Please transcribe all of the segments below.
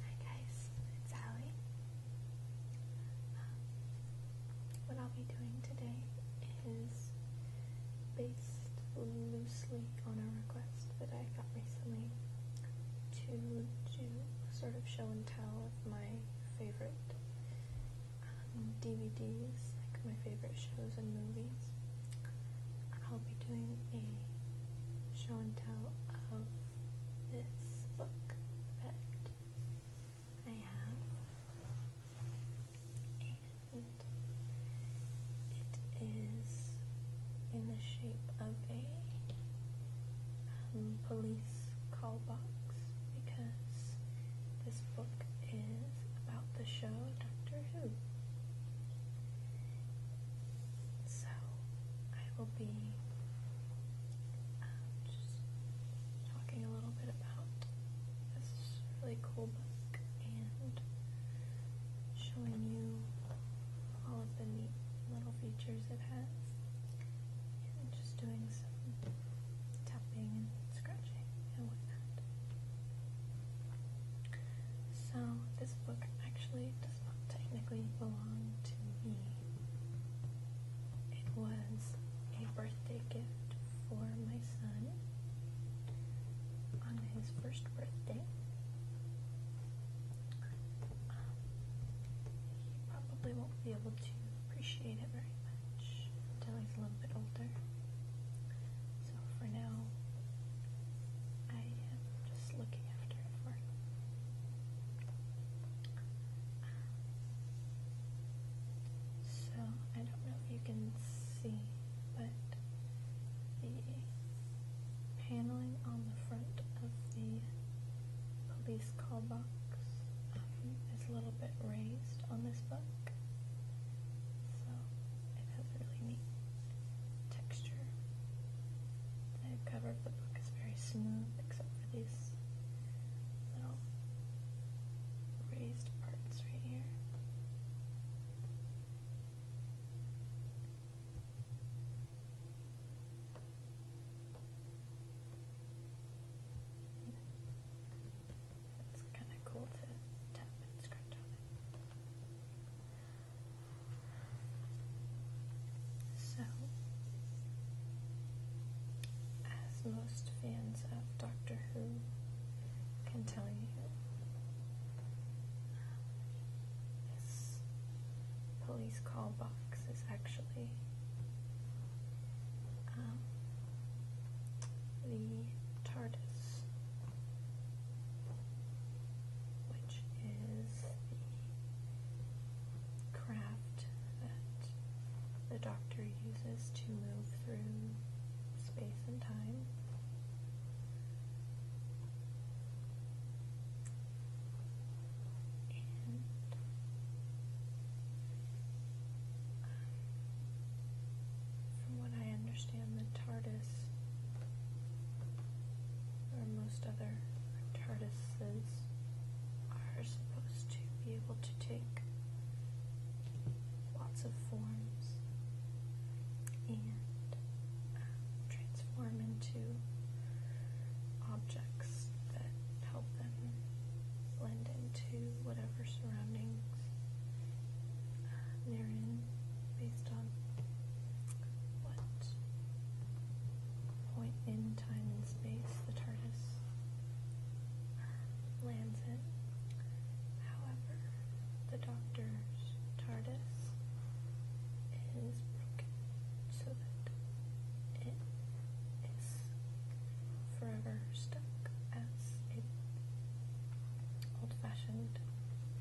Hi guys, it's Allie. Um, what I'll be doing today is based loosely on a request that I got recently to do sort of show and tell of my favorite um, DVDs, like my favorite shows and movies. I'll be doing a show and tell of this book that I have, and it is in the shape of a um, police call box because this book is about the show Doctor Who. So I will be um, just talking a little bit about this really cool book and showing you all of the neat little features it has and just doing some tapping and scratching and whatnot. So, this book actually does not technically belong to me. It was a birthday gift for my son on his first birthday. Um, he probably won't be able to appreciate it very much until he's a little bit older. So for now, I am just looking after it So I don't know if you can see, but the paneling on the front of the police call box um, is a little bit raised on this book. So it has a really neat texture. The cover of the book is very smooth, except for these little raised parts right here. It's kind of cool to tap and scratch on it. So, as most fans of Doctor Who can tell you, this police call box is actually um, the TARDIS which is the craft that the doctor uses to move through space and time. Um, from what I understand, the TARDIS, or most other TARDISes, are supposed to be able to take lots of forms and um, transform into objects that help them blend into whatever surroundings uh, they're in based on what point in time and space the TARDIS lands in. However, the Doctor's TARDIS is broken so that it is forever stuck as it. Old fashioned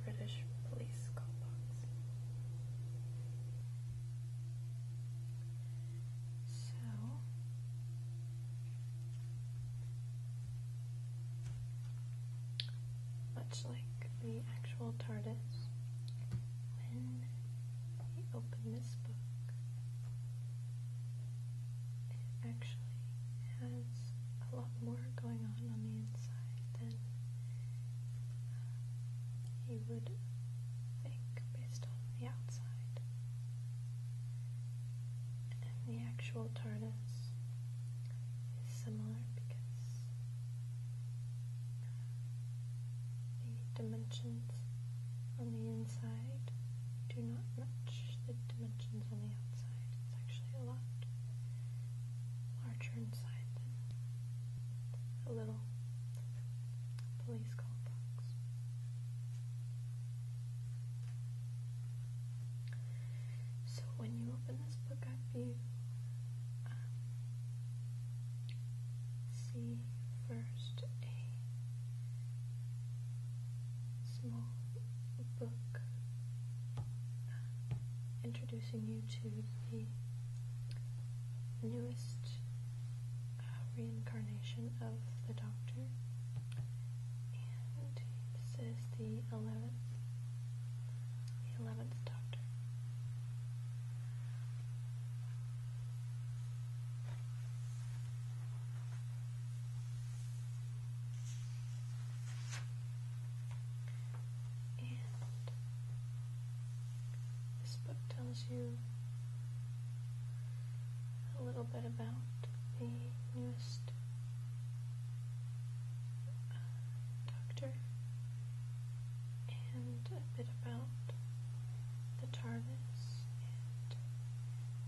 British police callbox. So much like the actual TARDIS, when we open this book, it actually has a lot more going on on the inside than uh, you would think based on the outside. And the actual TARDIS is similar because uh, the dimensions on the inside do not match the dimensions on the outside a lot larger inside than a little police call box. So when you open this book I you um, see first a small book uh, introducing you to the newest uh, reincarnation of the Doctor. And this is the 11th, the 11th Doctor this book tells you a little bit about the newest uh, doctor and a bit about the TARDIS and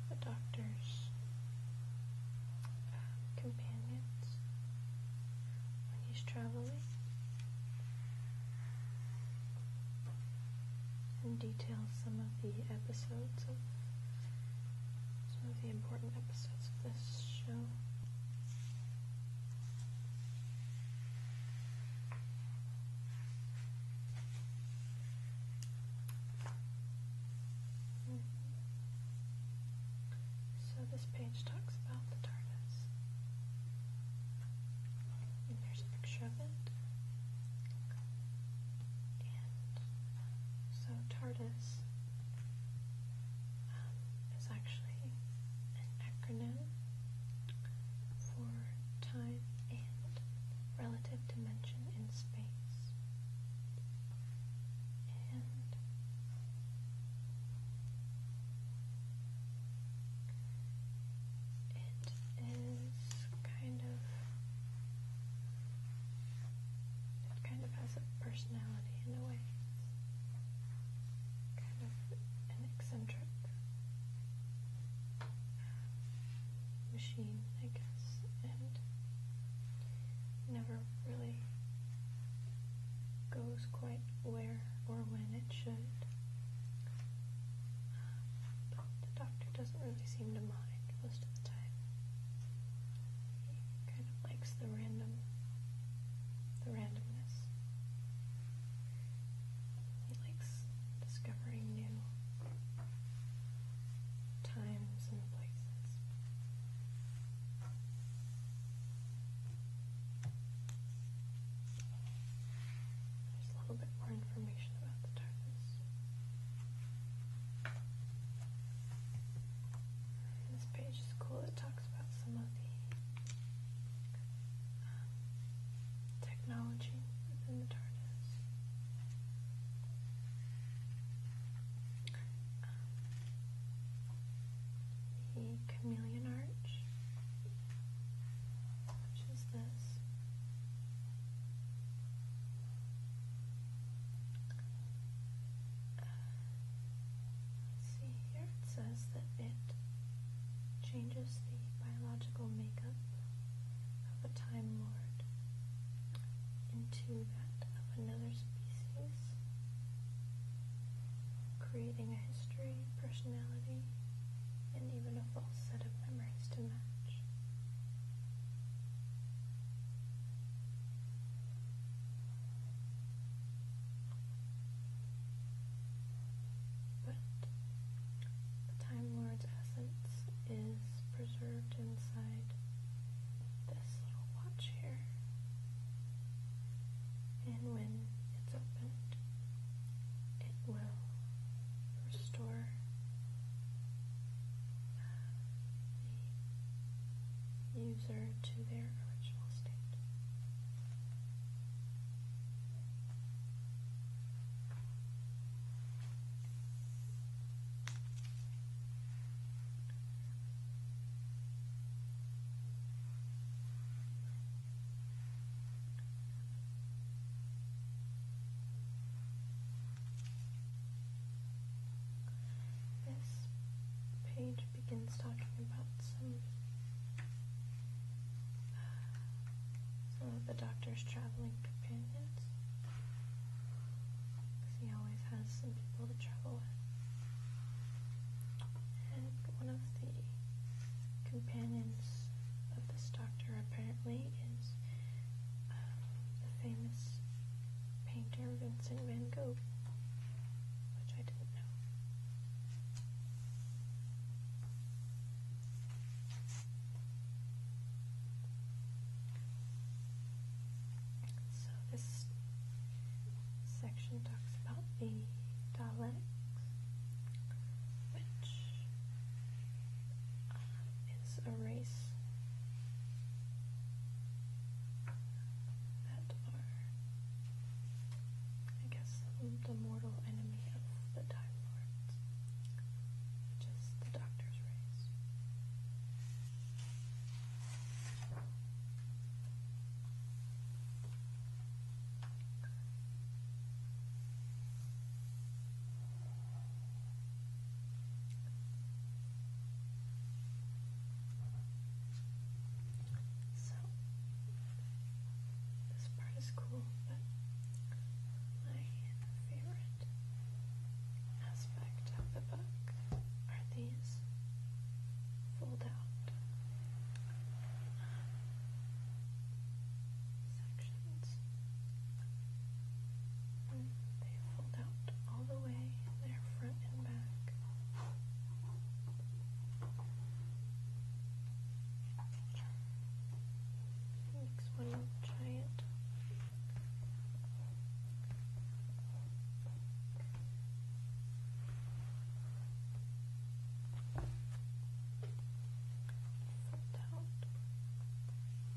the doctor's companions when he's traveling, and details some of the episodes of some of the important episodes of this show. So this page talks about the TARDIS. And there's a picture of it. so TARDIS um, is actually an acronym for time and relative dimension in space and it is kind of it kind of has a personality in a way. Kind of an eccentric machine, I guess, and never really goes quite where or when it should. But the doctor doesn't really seem to mind most of the time. He kind of likes the random, the randomness. He likes discovering new times and places. There's a little bit more information about the TARDIS. This page is cool. It talks about some of the um, technology within the darkness the chameleon arch, which is this. see here it says that it changes the biological makeup of a Time Lord into that of another species, creating a history, personality, and even a false set of memories to match. But the Time Lord's essence is preserved inside this little watch here. And when it's opened, it will restore uh, the user to their original state. This page begins talking about some some of the doctor's traveling companions he always has some people to travel with. And one of the companions of this doctor apparently is um, the famous painter Vincent van Gogh, which I didn't know. So this section talks about the dialectics, which um, is a race that are, I guess, the mortal enemy of the Time Lords. Just the doctor's rays. So, this part is cool, but my favorite aspect of the book are these fold out sections. And they fold out all the way, they're front and back. Makes one giant out.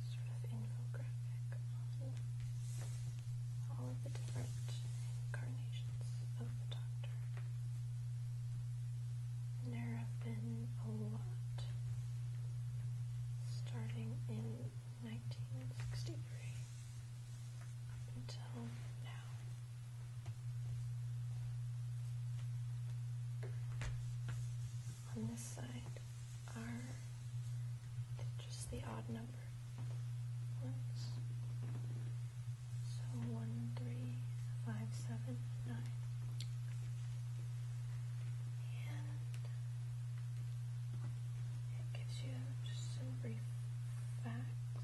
Sort of infographic on all of the different incarnations of the Doctor. And there have been a lot starting in 1963 until now. On this side are just the odd number ones. So one, three, five, seven, nine it gives you just some brief facts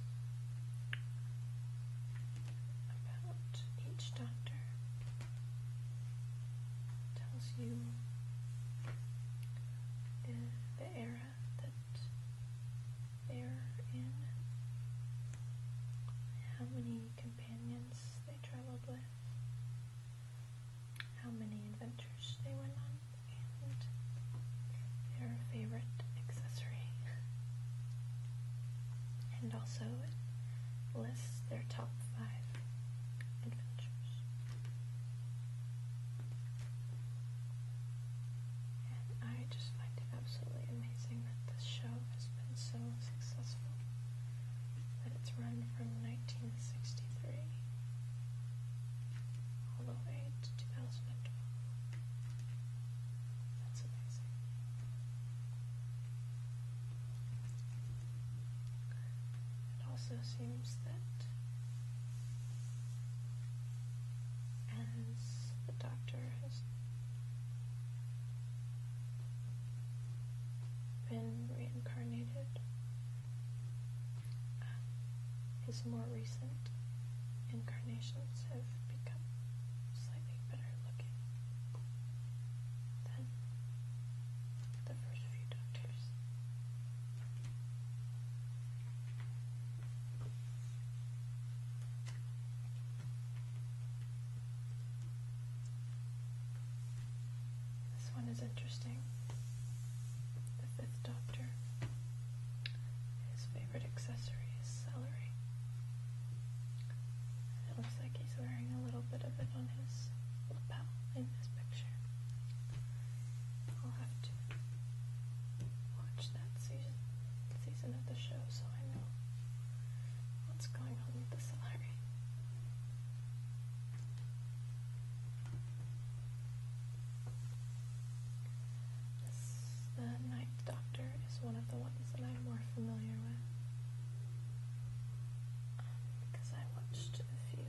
about each doctor. tells you the, the era that they're in, how many companions they traveled with, how many adventures they went on and their favorite accessory. and also it lists their top five adventures. And I just find it absolutely amazing that this show has been so successful that it's run from 1963 all the way to 2012. That's amazing. It also seems that as the doctor has been reincarnated. Um, his more recent incarnations have become slightly better looking than the first few doctors. This one is interesting. The fifth doctor. His favorite accessory is celery. it looks like he's wearing a little bit of it on his lapel in this picture. I'll have to watch that season season of the show so I know what's going on with the celery the Ninth Doctor is one of the ones that I'm more familiar with because I watched a few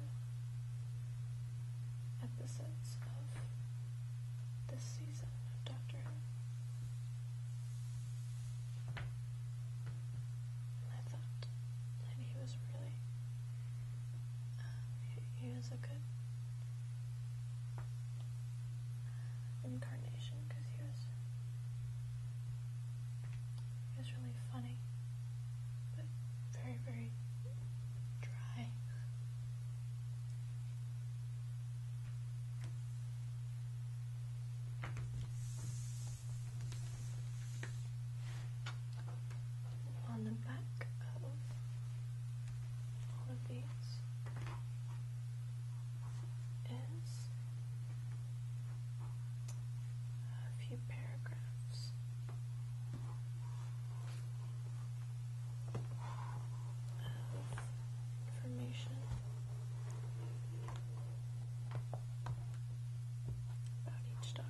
episodes of this season of Doctor Who. And I thought that he was really, um, he, he was a good incarnation because he was, he was really funny, but very, very dry on the back of all of these is a few paragraphs. Of information about each doctor.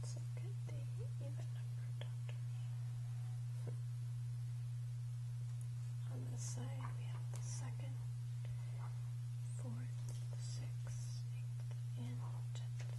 What's a good thing? Even number On the side, we have the second, fourth, sixth, eighth, and tenth.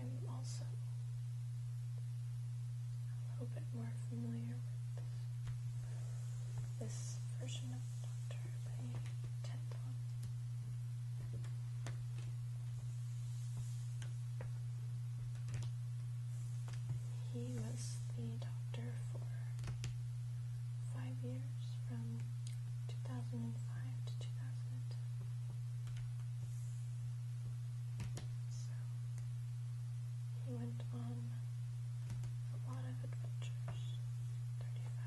I'm also a little bit more familiar with this version of Doctor by Tenton. He was the doctor for five years from 2005 to two thousand, So he went on a lot of adventures. 35.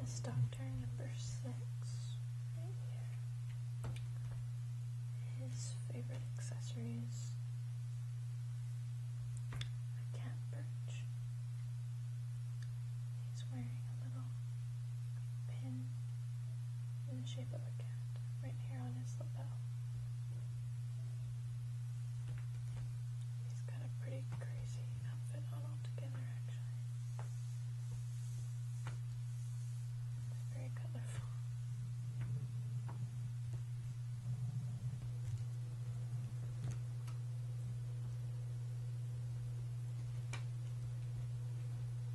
This doctor number six His favorite accessories a cat perch. He's wearing a little pin in the shape of a cat right here on his lapel. He's got a pretty crazy outfit on altogether, actually. very colorful.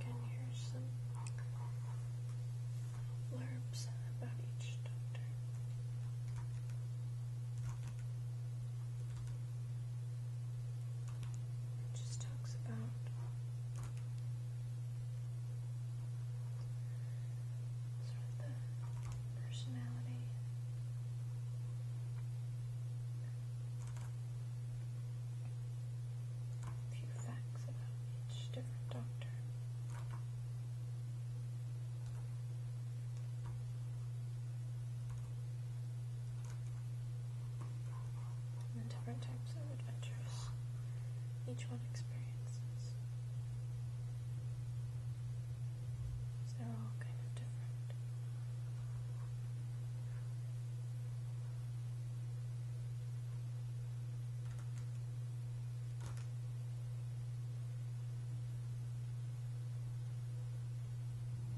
Again, here's some blurbs about each doctor just talks about sort of the personality. A few facts about each different doctor and different types of adventures each one experiences. they're all kind of different.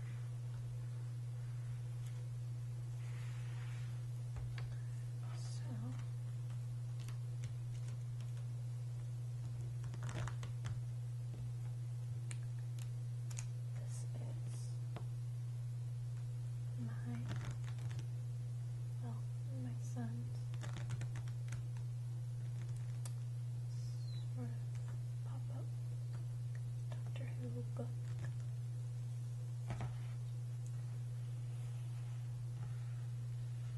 So this is my well, my son's sort of pop-up Doctor Who book.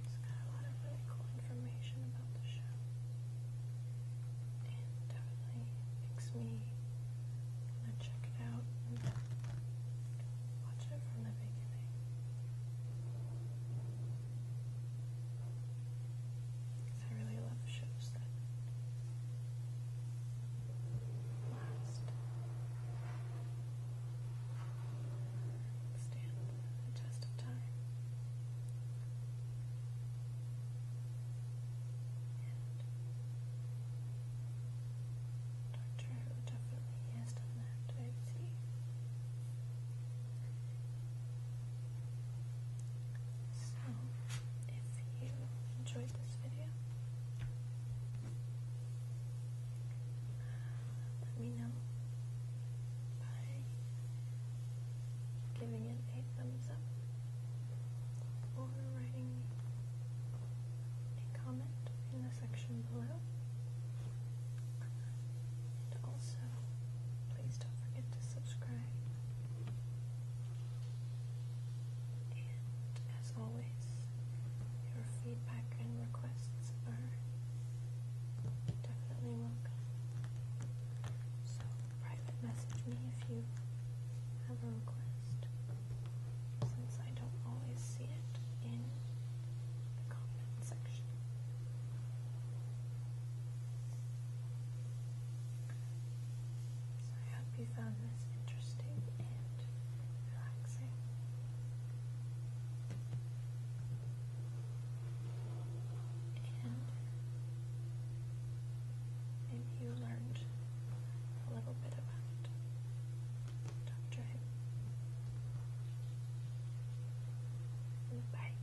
It's got a lot of really cool information about the show. And definitely makes me want to check it out and watch it from the beginning. I really love shows that last. the test of time. And Doctor Who definitely has done that, I've so, if you enjoyed this video, let me know by giving it a thumbs up or writing a comment in the section below. And also, please don't forget to subscribe and as always, your feedback and requests are definitely welcome. So private message me if you have a request, since I don't always see it in the comment section. I hope you found this interesting and relaxing. And you learned a little bit about Dr. Bye.